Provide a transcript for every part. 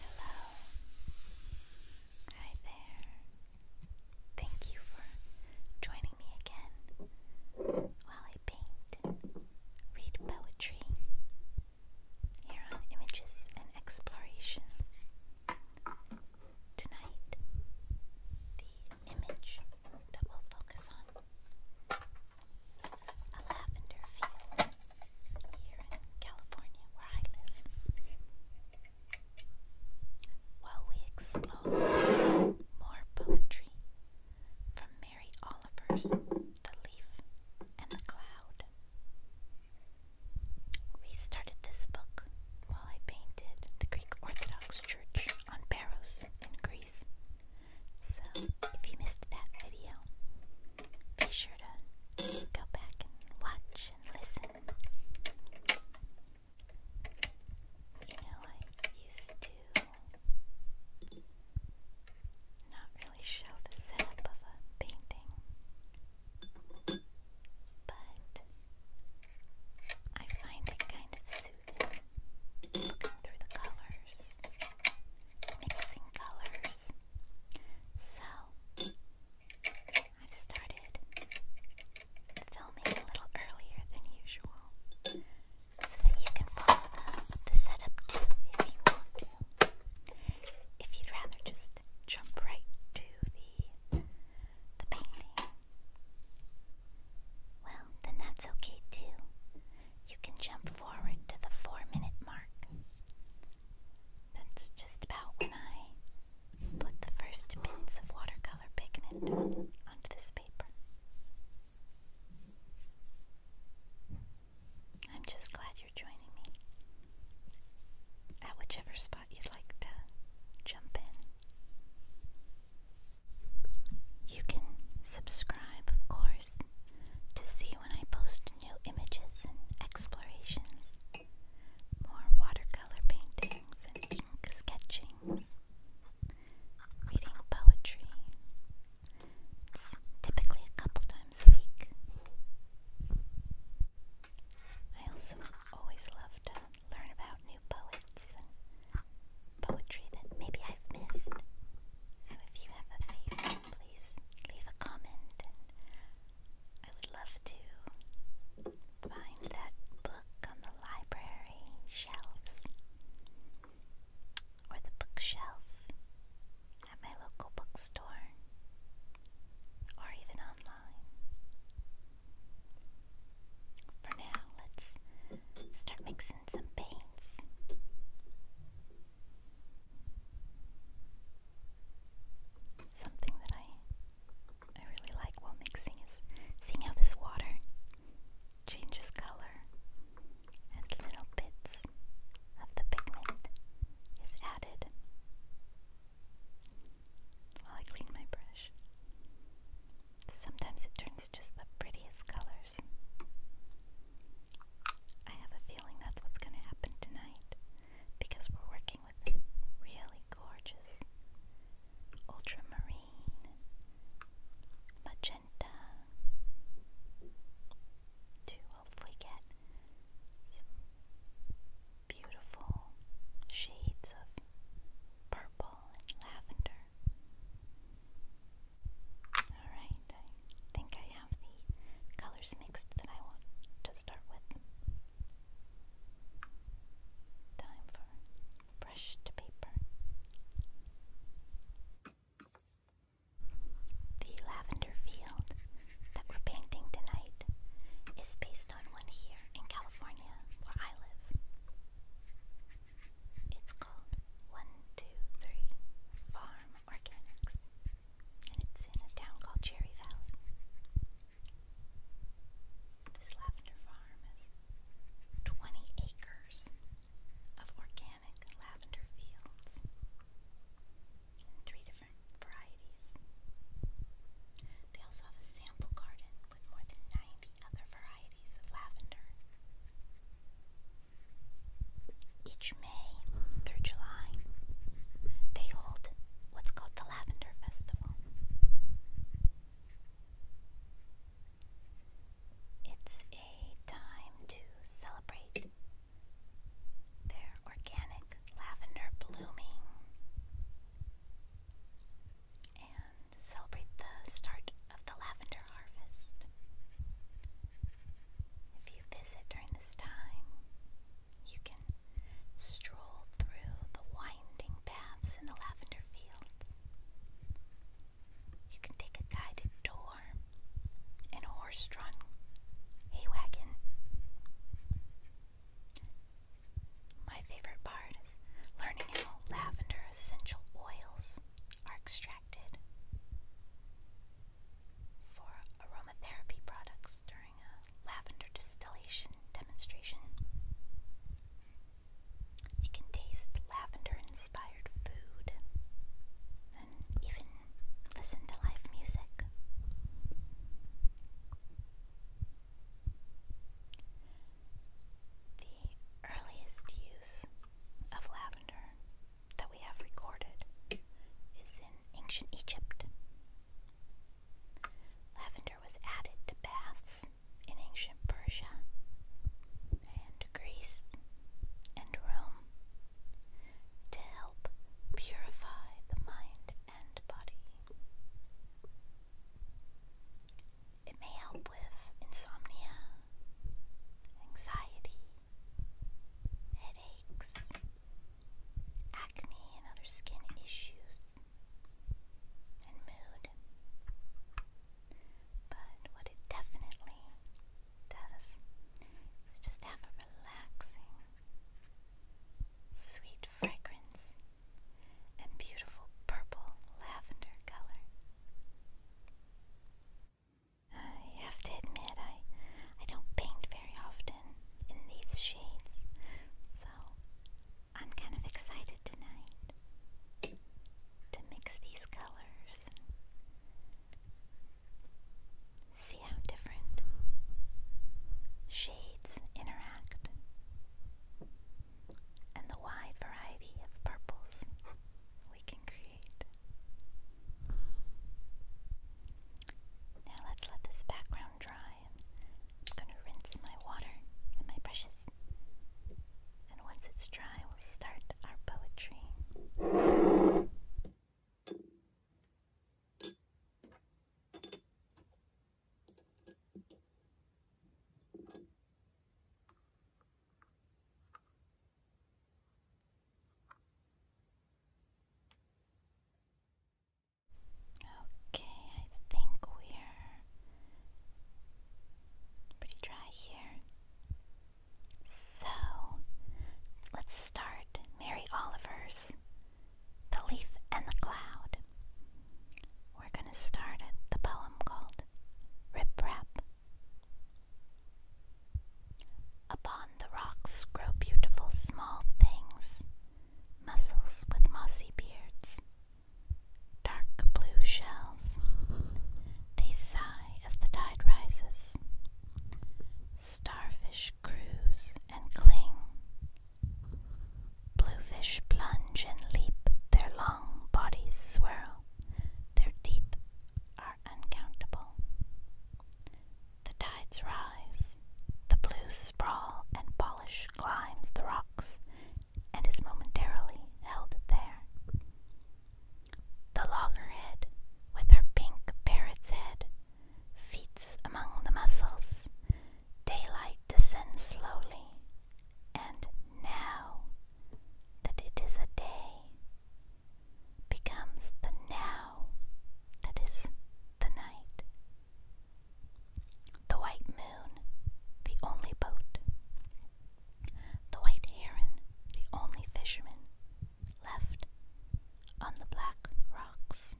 Hello. Hi there. Thank you for joining me again while I paint, read poetry here on Images and Explorations. Tonight, the image that we'll focus on is a lavender field here in California, where I live. While we explore more poetry from Mary Oliver's The Leaf and the Cloud. We started this book while I painted the Greek Orthodox Church on Paros in Greece. So if you missed that video, be sure to Go back and watch and listen. You know, I used to not really show the setup of a painting, but I find it kind of soothing looking through the colors, mixing colors. So, I've started filming a little earlier than usual so that you can follow the, setup too if you want to. If you'd rather just jump right to the, the painting, well, then that's okay too. You can jump forward to the four minute mark. That's just about when I put the first bits of watercolor pigment onto this paper. I'm just glad you're joining me at whichever spot you'd like to jump in. You can subscribe, of course to see when I post new images explorations, more watercolor paintings ink sketchings, reading poetry. It's typically a couple times a week. I also always love to learn about new poets poetry that maybe I've missed. So if you have a favorite, please leave a comment, I would love to find that book on the library shelves or the bookshelf at my local bookstore or even online. For now, let's start mixing some paints. Something that I I really like while mixing is seeing how this water changes color as little bits of the pigment is added while I clean my brush. Sometimes it turns just the prettiest colors. I have a feeling that's what's going to happen tonight because we're working with really gorgeous ultramarine, magenta to hopefully get beautiful shades of purple and lavender. Alright. I think I have the colors mixed that I want to start with. Time for brush to paper. The lavender field that we're painting tonight is based on one here in California where I live. It's called 123 Farm Organics and it's in a town called Cherry Valley. This lavender farm is 20 acres of organic lavender fields three different varieties. They also have a sample garden with more than 90 other varieties of lavender. Each May through July, they hold what's called the Lavender Festival. It's a time to celebrate their organic lavender blooming and celebrate the start of the lavender harvest. If you visit during this time, you can stroll through the winding paths in the lavender fields. You can take a guided tour in a horse drawn hay wagon. My favorite part is learning how lavender essential oils are extracted for aromatherapy products during a lavender distillation demonstration. You can taste lavender inspired food and even listen to live music. The earliest use of lavender that we have recorded is in ancient Egypt. Lavender was added to baths in ancient Persia and Greece and Rome to help purify the mind and body. It may help with insomnia, anxiety, headaches, acne, and other skin issues, and mood. But what it definitely does is just have a relaxing, sweet fragrance and beautiful purple lavender color. I have to admit, I, I don't paint very often in these shades, so I'm kind of excited tonight to mix these colors see how different shades interact and the wide variety of purples we can create. Now let's let this background dry. I'm going to rinse my water and my brushes. And once it's dry, we'll start our poetry. Okay, I think we're pretty dry here. So let's start Mary Oliver's The Leaf and the Cloud. We're going to start at the poem called Rip Upon the rocks grow beautiful small things, mussels with mossy beards, dark blue shells. They sigh as the tide rises. Starfish cruise and cling. Bluefish plunge and leap, their long bodies swirl, their teeth are uncountable. The tides rise, the blues sprawl and polish climbs the rocks and is momentarily held there. The loggerhead, with her pink parrot's head, feats among the mussels. Daylight descends slowly, and now that it is a day, becomes the now that is the night. The white moon, the only boat. The white heron, the only fisherman left on the black rocks.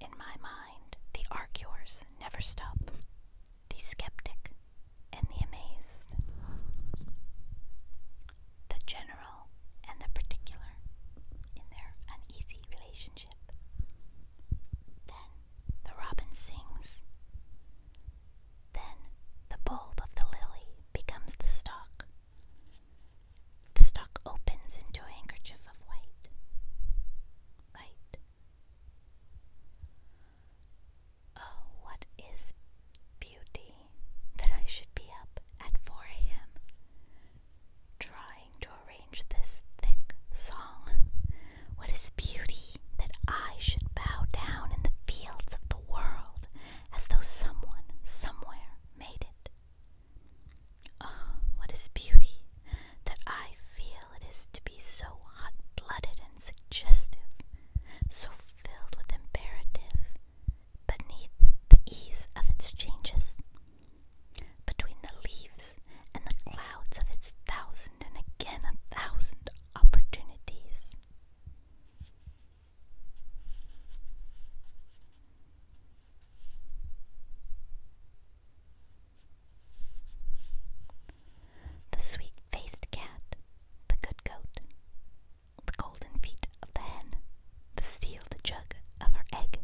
In my mind, the arguers never stop the skeptic, and the amazed, the general and the particular in their uneasy relationship. Then the robin sings. Then the bulb of the lily becomes the stalk. The stalk opens into a handkerchief of white. Light. Oh, what is beauty that I should be up at 4 a.m. trying to arrange this thick song? What is beauty that I should bow down in the fields of the world as though someone somewhere made it? Oh, what is beauty that I feel it is to be so hot blooded and suggestive, so filled with imperative, beneath the ease of its changes, between the leaves and the clouds of its thousand and again a thousand opportunities. The sweet faced cat, the good goat, the golden feet of the hen, the sealed jug of her egg,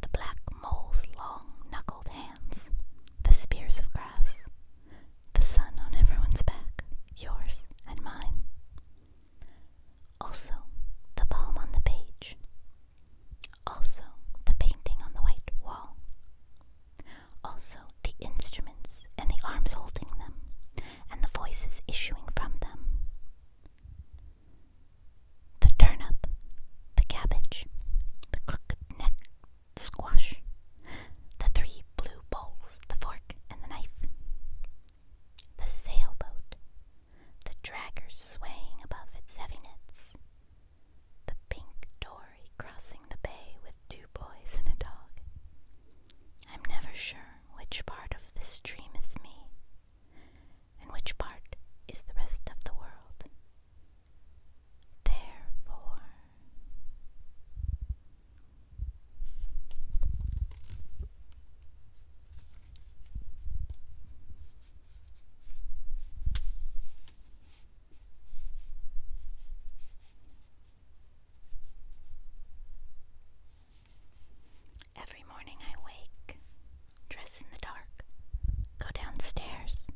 the black mole's long knuckled hands, the spears of grass, the sun on everyone's back, yours and mine. Also, the poem on the page, also, the painting on the white wall. Also, the instruments and the arms holding them, and the voices issuing from them. The turnip, the cabbage, the crooked neck squash, the three blue bowls, the fork and the knife, the sailboat, the dragger swaying above its heavy nets, the pink dory crossing the bay with two boys and a dog. I'm never sure which part of this dream is me, and which part is the rest of the world. Therefore, Every morning I wake, dress in the dark, go downstairs.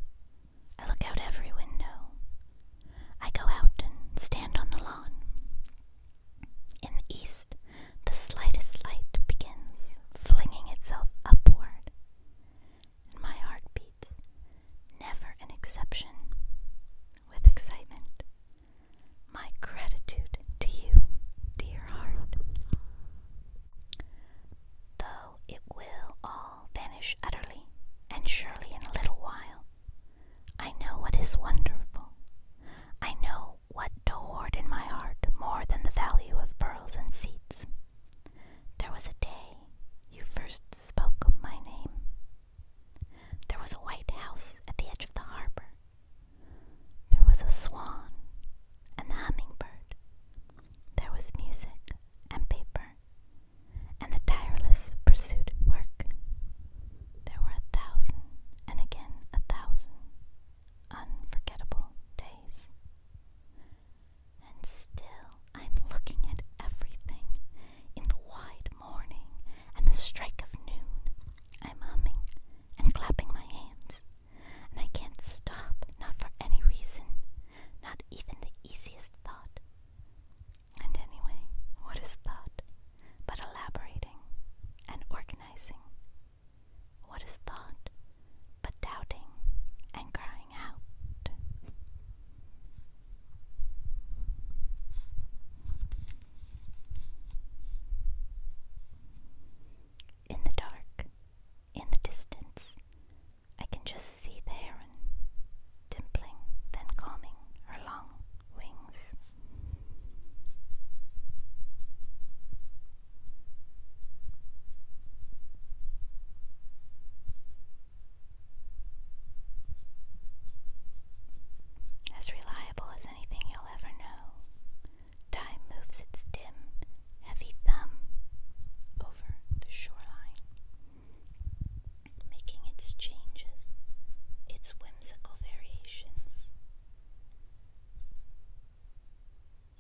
I look out every window. I go out and stand on the lawn. In the east, the slightest light begins flinging itself upward and my heart beats, never an exception, with excitement. My gratitude to you, dear heart. Though it will all vanish utterly, and surely in a little while, I know what is wonderful. I know what to hoard in my heart more than the value of pearls and seeds. There was a day you first spoke my name. There was a white house at the edge of the harbor. There was a swan and the hummingbird. There was music and paper and the tireless pursuit of work. There were a thousand and again a thousand unforgettable days. And still I'm looking at everything in the wide morning and the strike of noon. I'm humming and clapping my hands, and I can't stop, not for any reason, not even the easiest thought. And anyway, what is thought but elaborating and organizing? What is thought but doubting and crying out. In the dark, in the distance, I can just see the heron dimpling, then calming her long wings. As reliable as anything you'll ever know, time moves its dim, heavy thumb over the shoreline, making its changes, its whimsical variations.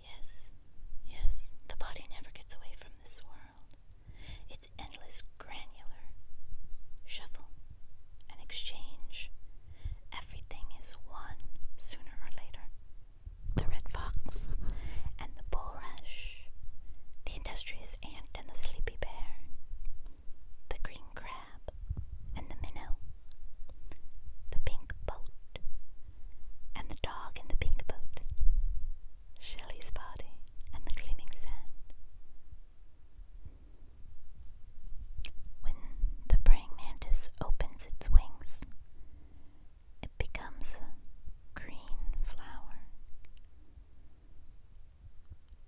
Yes, yes, the body never gets away from this world. It's endless granular shuffle and exchange. Everything is one sooner or later. The red fox and the bulrush, the industrious ant and the sleepy bear, the green crab and the minnow, the pink boat and the dog in the pink boat, Shelley's body and the gleaming sand. When the praying mantis opens its wings, it becomes green flower.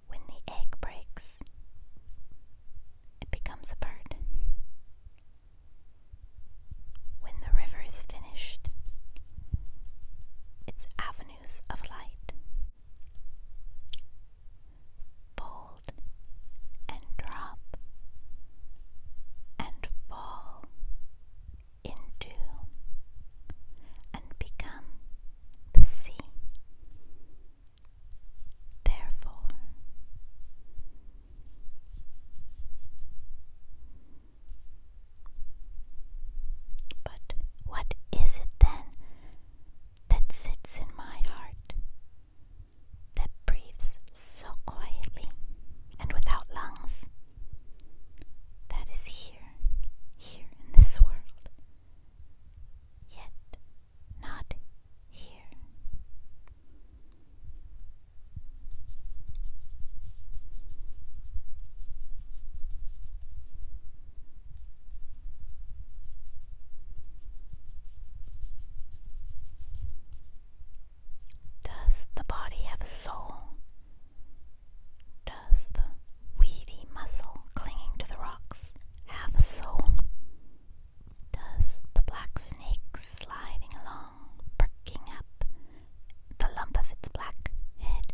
When the egg breaks, it becomes a bird, when the river is finished, its avenues of light, fold and drop and fall into and become the sea. Therefore, but what is it then that sits in my heart, that breathes so quietly and without lungs, that is here, here in this world, yet not here? Does the body have a soul? Does the weedy muscle clinging to the rocks have a soul? Does the black snake sliding along? perking up the lump of its black head.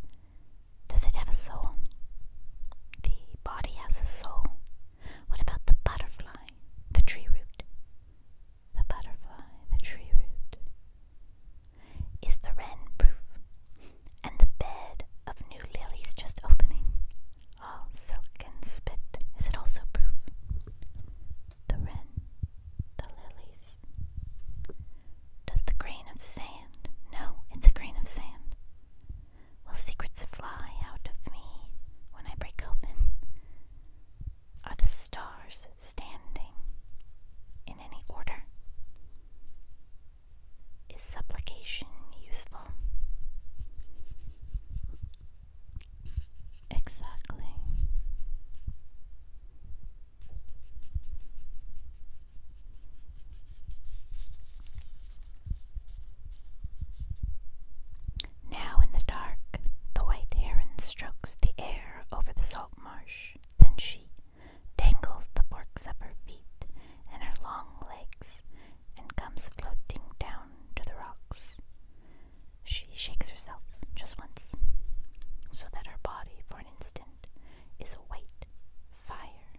Does it have a soul? The body has a soul. What about the butterfly, the tree root? The butterfly, the tree root. Is the wren proof? And the bed of new lilies just opening, all ah, silk and spit, is it also proof? the wren, the lilies. Does the grain of sand? No, it's a grain of sand. Will secrets fly out of me when I break open? Are the stars standing in any order? Is supplication useful? Exactly. Now in the dark, the white heron strokes the air over the salt marsh. Then she dangles the forks of her feet and her long legs and comes floating down to the rocks. She shakes herself just once so that her body, for an instant, is a white fire.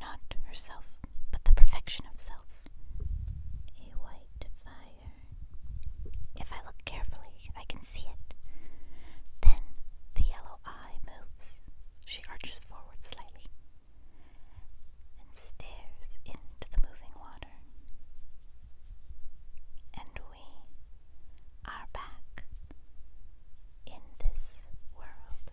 Not herself, but the perfection of self. A white fire. If I look carefully, I can see it. Then the yellow eye moves. She arches forward slightly, and stares into the moving water. And we are back in this world.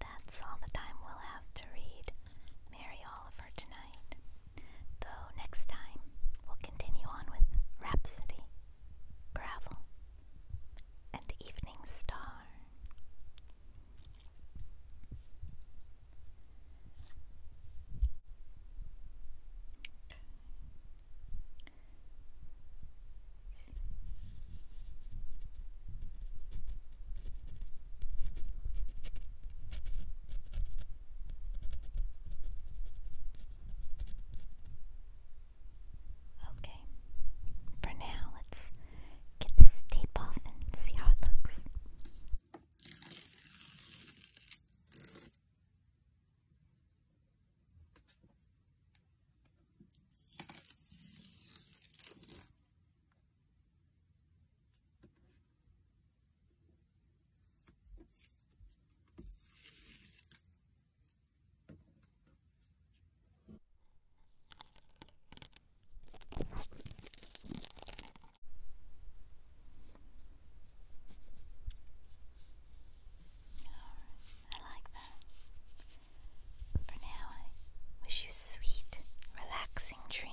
That's all the time we'll have to read Mary Oliver tonight. Though next time we'll continue on with Rhapsody, Gravel, and Evening Star. Okay, for now, let's get this tape off and see how it looks. I like that. For now, I wish you sweet, relaxing dreams